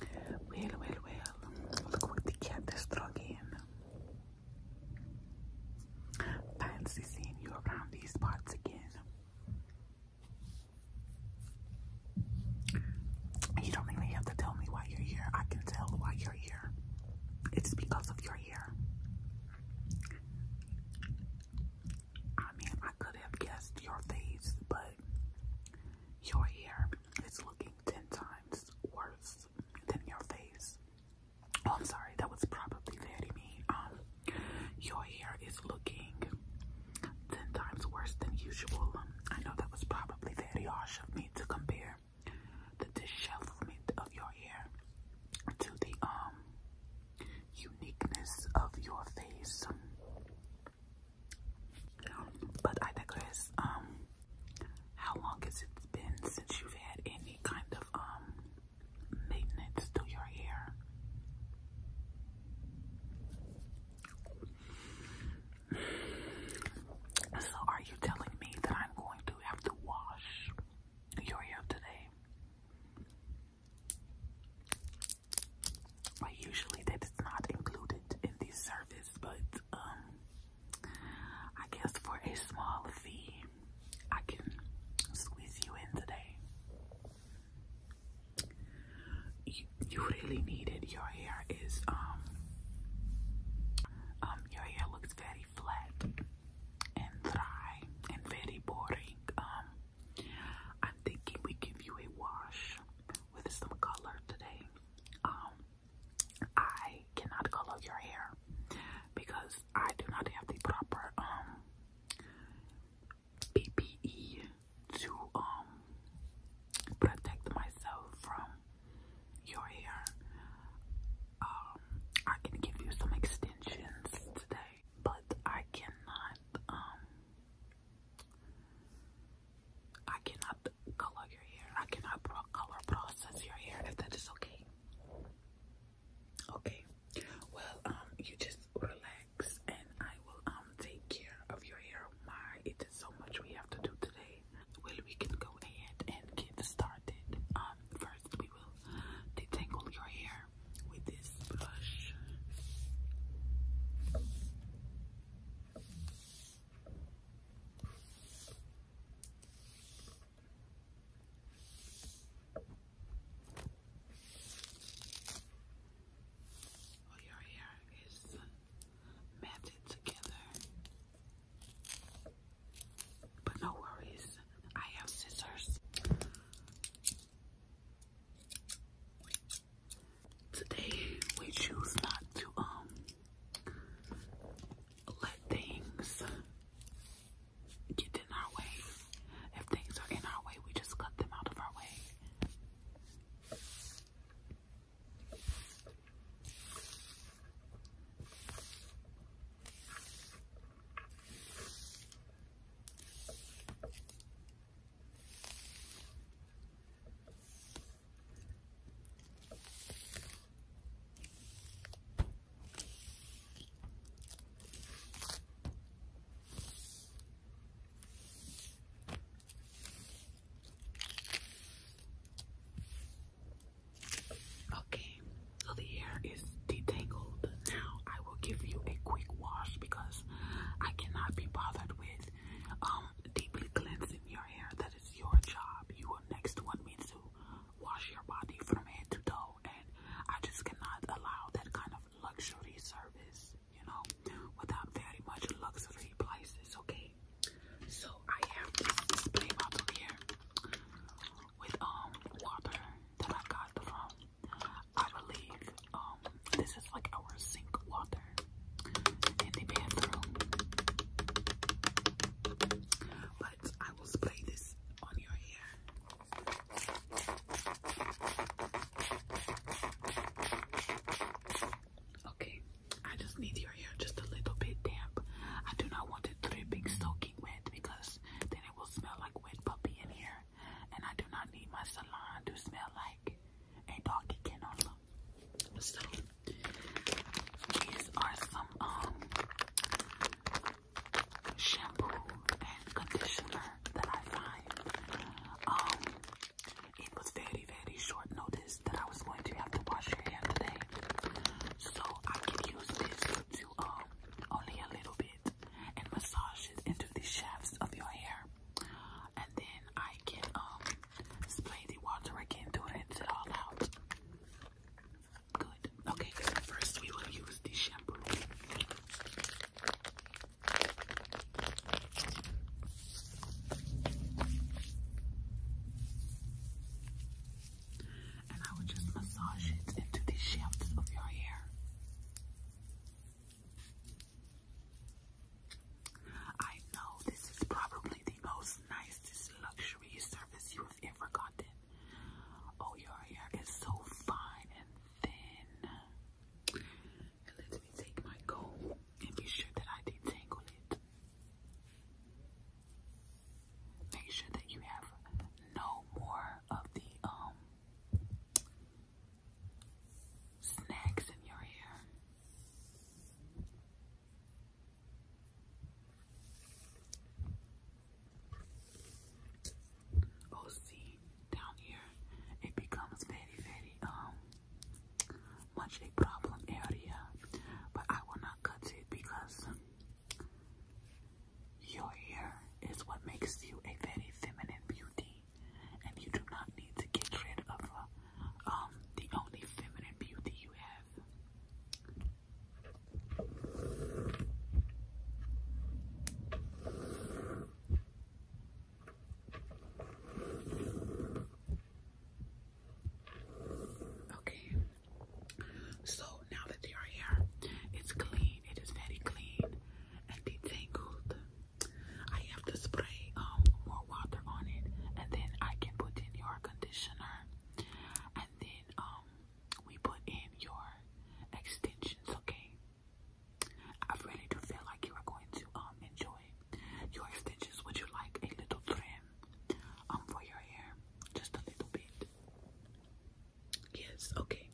Well, well, well. Look what the cat is drug in. Fancy seeing you around these parts again. You don't really have to tell me why you're here. I can tell why you're here. It's because of your hair. I mean, I could have guessed your face, but your hair. It's looking ten times worse than your face. Oh, I'm sorry, that was probably that I Um, your hair is looking ten times worse than usual. Um, I know that was probably very harsh of me to compare the dishevelment of your hair to the um uniqueness of your face. But I digress. Um, how long has it been since you've had any kind of um maintenance to your hair? So are you telling me that I'm going to have to wash your hair today? Well, usually that is not included in the service, but um, I guess for a small fee, I can squeeze you in today. You, you really needed Your hair is um um your hair looks very flat and dry and very boring. Um, I'm thinking we give you a wash with some color today. Um, I cannot color your hair because I do not have the proper um, PPE to um, protect myself from your hair. I can give you some extensions today, but I cannot um I cannot color your hair. I cannot color process your hair if that is okay. Okay. Well, um, you just relax and I will um take care of your hair. My it is so much we have to do today. Well we can go ahead and get started. Um first we will detangle your hair with this brush. Oh, your hair is matted together, but no worries, I have scissors. Today we choose not to um let things get in our way. If things are in our way, we just cut them out of our way. Okay, so the hair is detangled. Now I will give you a quick wash because I cannot be bothered with um, deeply cleansing your hair. That is your job. You will next want me to wash your body from head to toe, and I just cannot allow that kind of luxury service, you know, without very much luxury places, okay? So I have this display bottle here with um water that I got from I believe um this is like our sink water, in the bathroom. But I will spray this on your hair. Okay, I just need your hair just a little bit damp. I do not want it dripping, soaking wet because then it will smell like wet puppy in here. And I do not need my salon to smell like a doggy can also. So these are some um shampoo and conditioner that I find. Um it was very, very short notice that I was going to have to wash your hair today. So I can use this to um only a little bit and massage it into the shafts of your hair and then I can um spray the water again to rinse it all out. Good. Okay, first we will use the shampoo. And I would just massage it into the shaft of your hair. I know this is probably the most nicest luxury service you have ever gotten. Oh, your hair is so fine and thin. let me take my comb and be sure that I detangle it. Make sure that you have no more of the um snacks in your hair. Oh, see, down here it becomes very, very um much a problem area, but I will not cut it because your hair is what makes you a very feminine beauty and you do not need to get rid of uh, um, the only feminine beauty you have. Okay, so now that they are here, clean, it is very clean and detangled. I have to spray um, more water on it, and then I can put in your conditioner, and then um, we put in your extensions. Okay, I really do feel like you are going to um, enjoy your extensions. Would you like a little trim for your hair, just a little bit? Yes. Okay.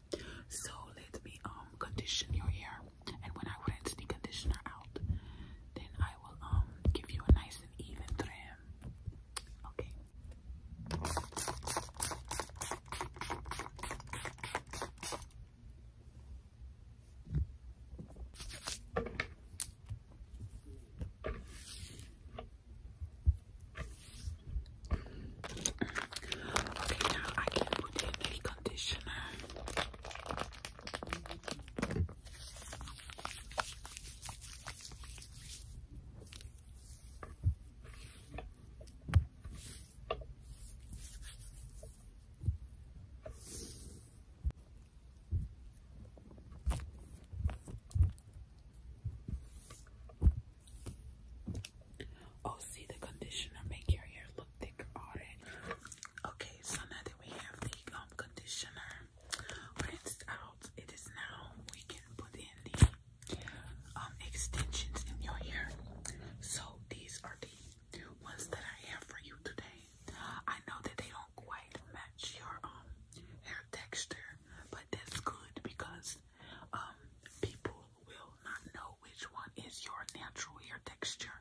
So let me condition your hair and when I rinse the conditioner out, then I will um give you a nice and even trim. Okay. Okay, now I can put in the conditioner. Oh, see the conditioner make your hair Okay, so now that we have the um, conditioner rinsed out, it is now we can put in the um, extensions in your hair. So these are the ones that I have for you today. I know that they don't quite match your um, hair texture, but that's good because people will not know which one is your natural hair texture.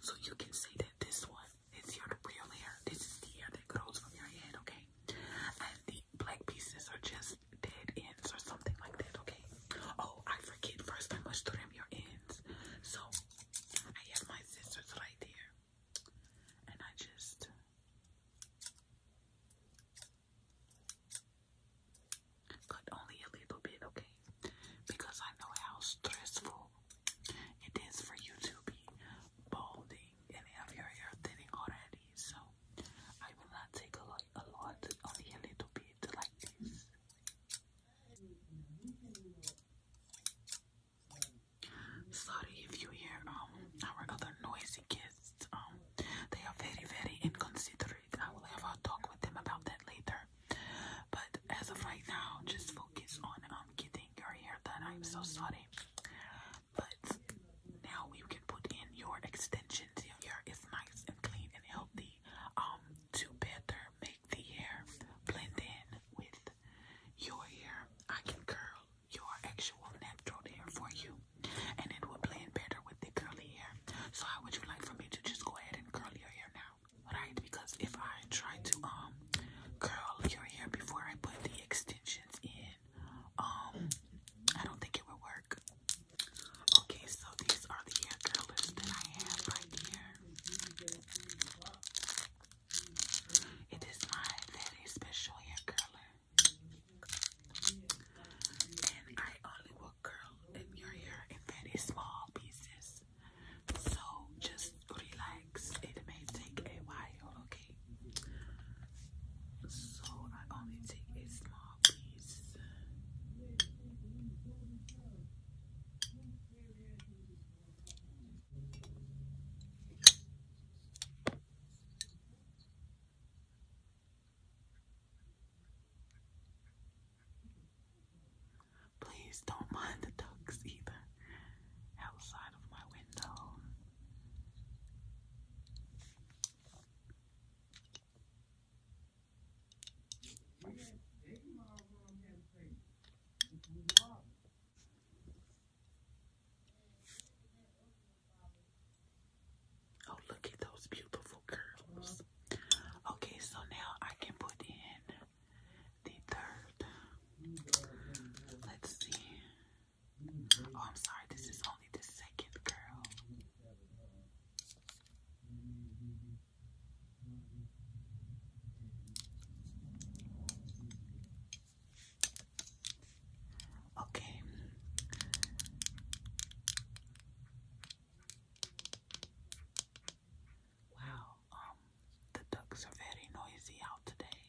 So you can see that this one is your real hair. This is the hair that grows from your head, okay? And the black pieces are just dead ends or something like that, okay? Oh, I forget. First, I must trim your ends. So I have my scissors right there. And I just. Cut only a little bit, okay? because I know how stressful it is for you to be balding and have your hair thinning already. So I will not take a lot, a lot, only a little bit like this. Sorry if you hear um our other noisy kids. Um, they are very, very inconsiderate. I will have a talk with them about that later. But as of right now, just focus on um, getting your hair done. I'm so sorry. But now we can put in your extensions. Your is nice and clean and healthy. Um, to better make the hair blend in with your hair, I can curl your actual natural hair for you, and it will blend better with the curly hair. So, how would you like for me to just go ahead and curl your hair now? right? Because if I try to um curl your hair before I put the extensions in, um, I don't think it would work. Okay, so these are the hair curlers that I have right here. It is my very special hair curler. And I only will curl your hair in very small pieces. So just relax. It may take a while, okay? So I only take a small piece. Please don't mind the ducks either outside of my window. Oh, look at those beautiful curls. Okay, so now I can put in the third. Let's see. Oh, I'm sorry, this is only the second girl. Okay. Wow, um, the ducks are very noisy out today.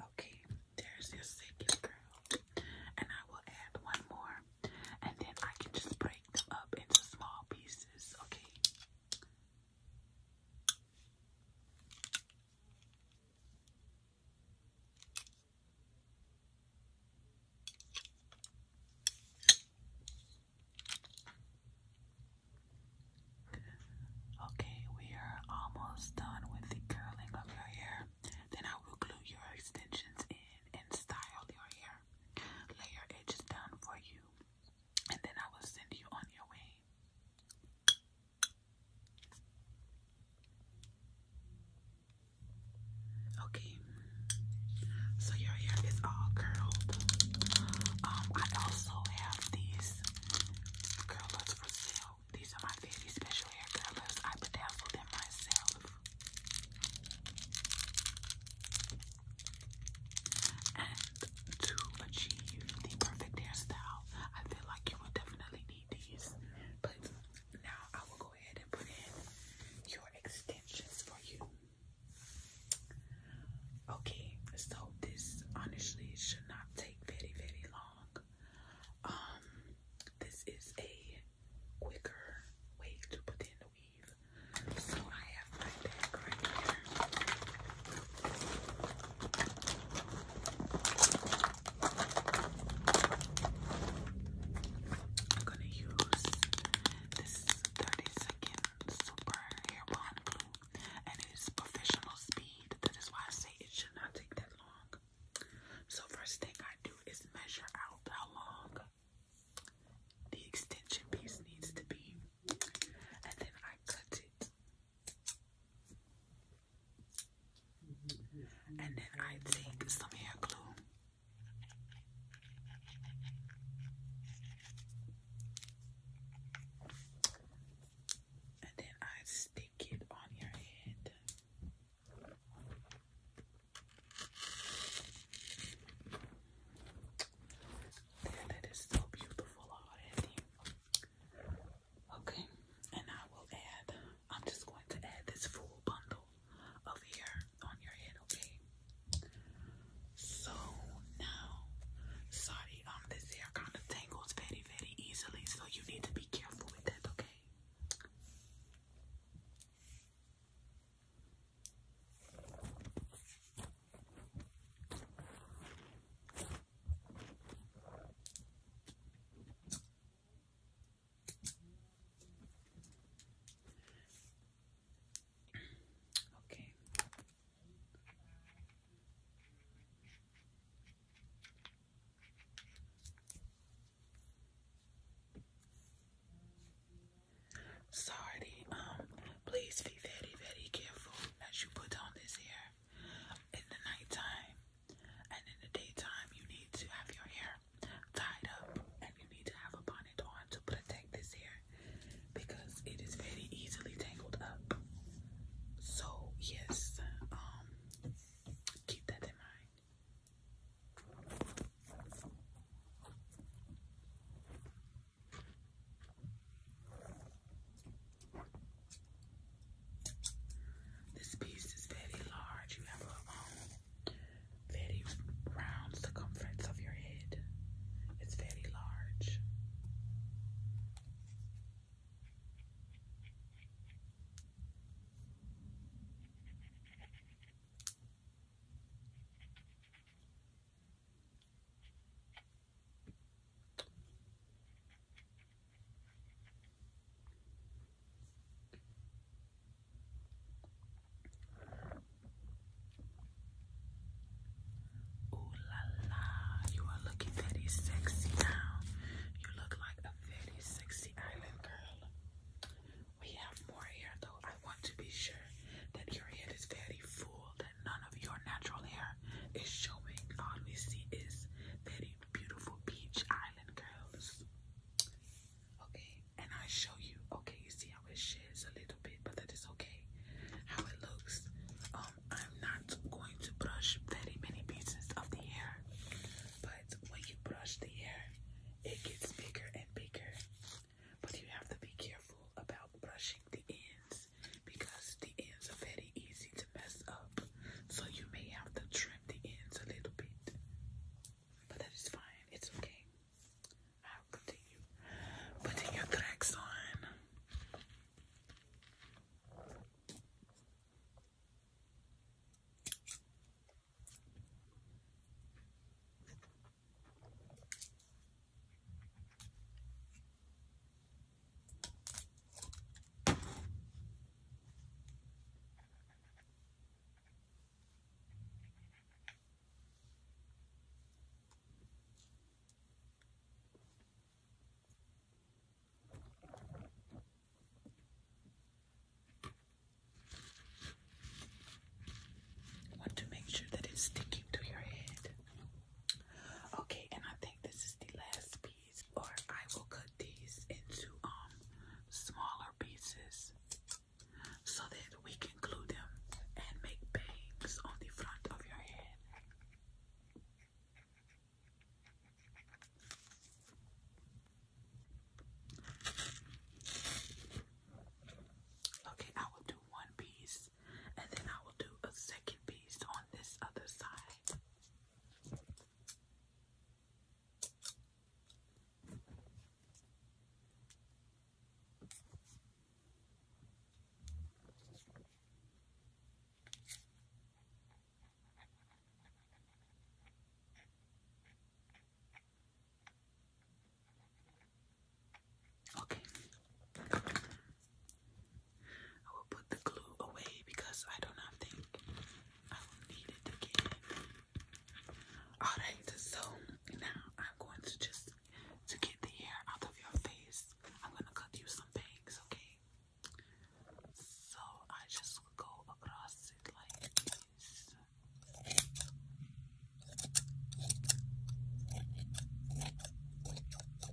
Okay, there's your second girl. And I will add one more. And then I can just break them up into small pieces, okay? Okay, we are almost done with the curling of your hair. Then I will glue your extensions in and style your hair. Lay your edges down for you and then I will send you on your way. Okay, so your hair is all curled. Um, I also have these curlers for sale. These are my very special hair curlers. I bedazzled them myself. And to achieve the perfect hairstyle, I feel like you would definitely need these. But now I will go ahead and put in your extensions for you. Okay, so this honestly should not take very, very long. Um, this is a quicker way to put in the weave. So I I'm gonna use this 30 second super hair bond glue, and it's professional speed. That is why I say it should not take that long. So first thing I do is measure out how long the extension piece needs to be and then I cut it. And then I take some hair glue. And then I stick it on your head. That is so beautiful already. Okay, and I will add, I'm just going to add this full bundle of hair on your head, okay? So now, sorry, um, this hair kind of tangles very, very easily, so you need to be careful with that, okay? Okay. Okay. Sorry, um, please be very, very careful as you put on this hair in the nighttime and in the daytime, you need to have your hair tied up and you need to have a bonnet on to protect this hair because it is very easily tangled up. So, yes, um, keep that in mind. This piece is very large. You have a um, very round circumference of your head. It's very large. Ooh la la, you are looking very sexy now. You look like a very sexy island girl. We have more hair though. I want to be sure that your head is very full none of your natural hair is showing. All we see is very beautiful beach island curls. Okay, and I show you. Okay, you see how it sheds a little bit, but that is okay. How it looks. Um, I'm not going to brush very many pieces of the hair, but when you brush the hair, it gets bigger and bigger. But you have to be careful about brushing the ends because the ends are very easy to mess up. So you may have to trim the ends a little bit. But that is fine. It's okay. I'll continue putting your tracks on. I want to make sure that it's sticking to your head. Okay, and I think this is the last piece, or I will cut these into um smaller pieces so that we can glue them and make bangs on the front of your head. Okay, I will do one piece and then I will do a second piece on this other side. Okay. I will put the glue away because I do not think I will need it again. Alright, so now I'm going to just to get the hair out of your face. I'm gonna cut you some bangs, okay? So I just go across it like this. Okay,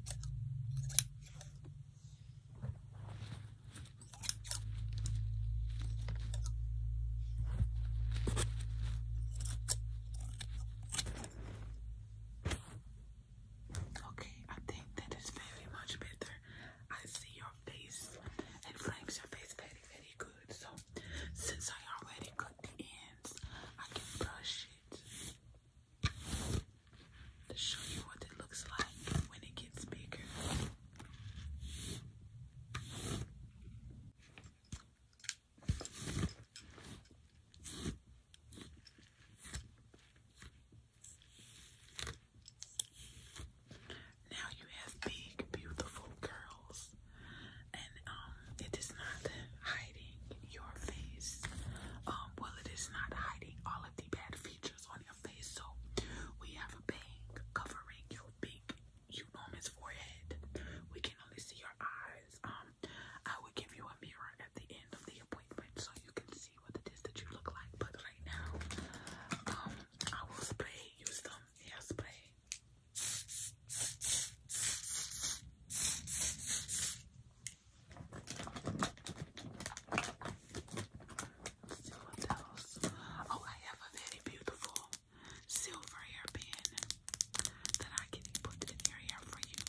I think that is very much better. I see your face. It frames your face very, very good. So, since I already cut the ends, I can brush it to show you what it looks like when it gets bigger. Now you have big, beautiful curls, um, it is not hiding your face. Um, well, it is not hiding all of the bad features on your face. So we have a bang covering your big, enormous forehead. We can only see your eyes. Um, I will give you a mirror at the end of the appointment so you can see what it is that you look like. But right now, I will spray you some hairspray. Still what else? Oh, I have a very beautiful silver hairpin that I can put in your hair for you.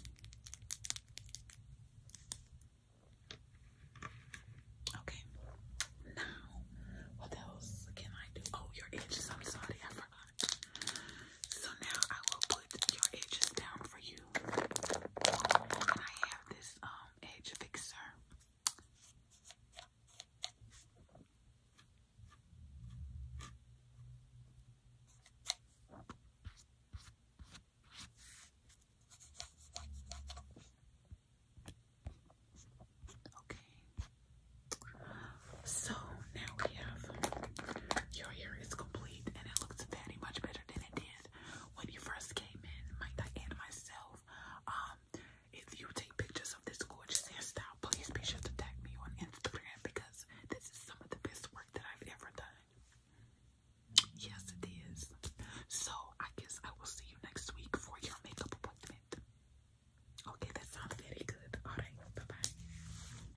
Okay. Now, what else can I do? Oh, your edges. I'm sorry, I forgot. So now I will put your edges down for you. And I have this um edge fixer. Okay. So now we have your hair is complete and it looks very much better than it did when you first came in. Mike Diane and myself. Um, if you take pictures of this gorgeous hairstyle, please be sure to tag me on Instagram because this is some of the best work that I've ever done. Yes, it is. So I guess I will see you next week for your makeup appointment. Okay, that sounds very good. Alright, bye-bye.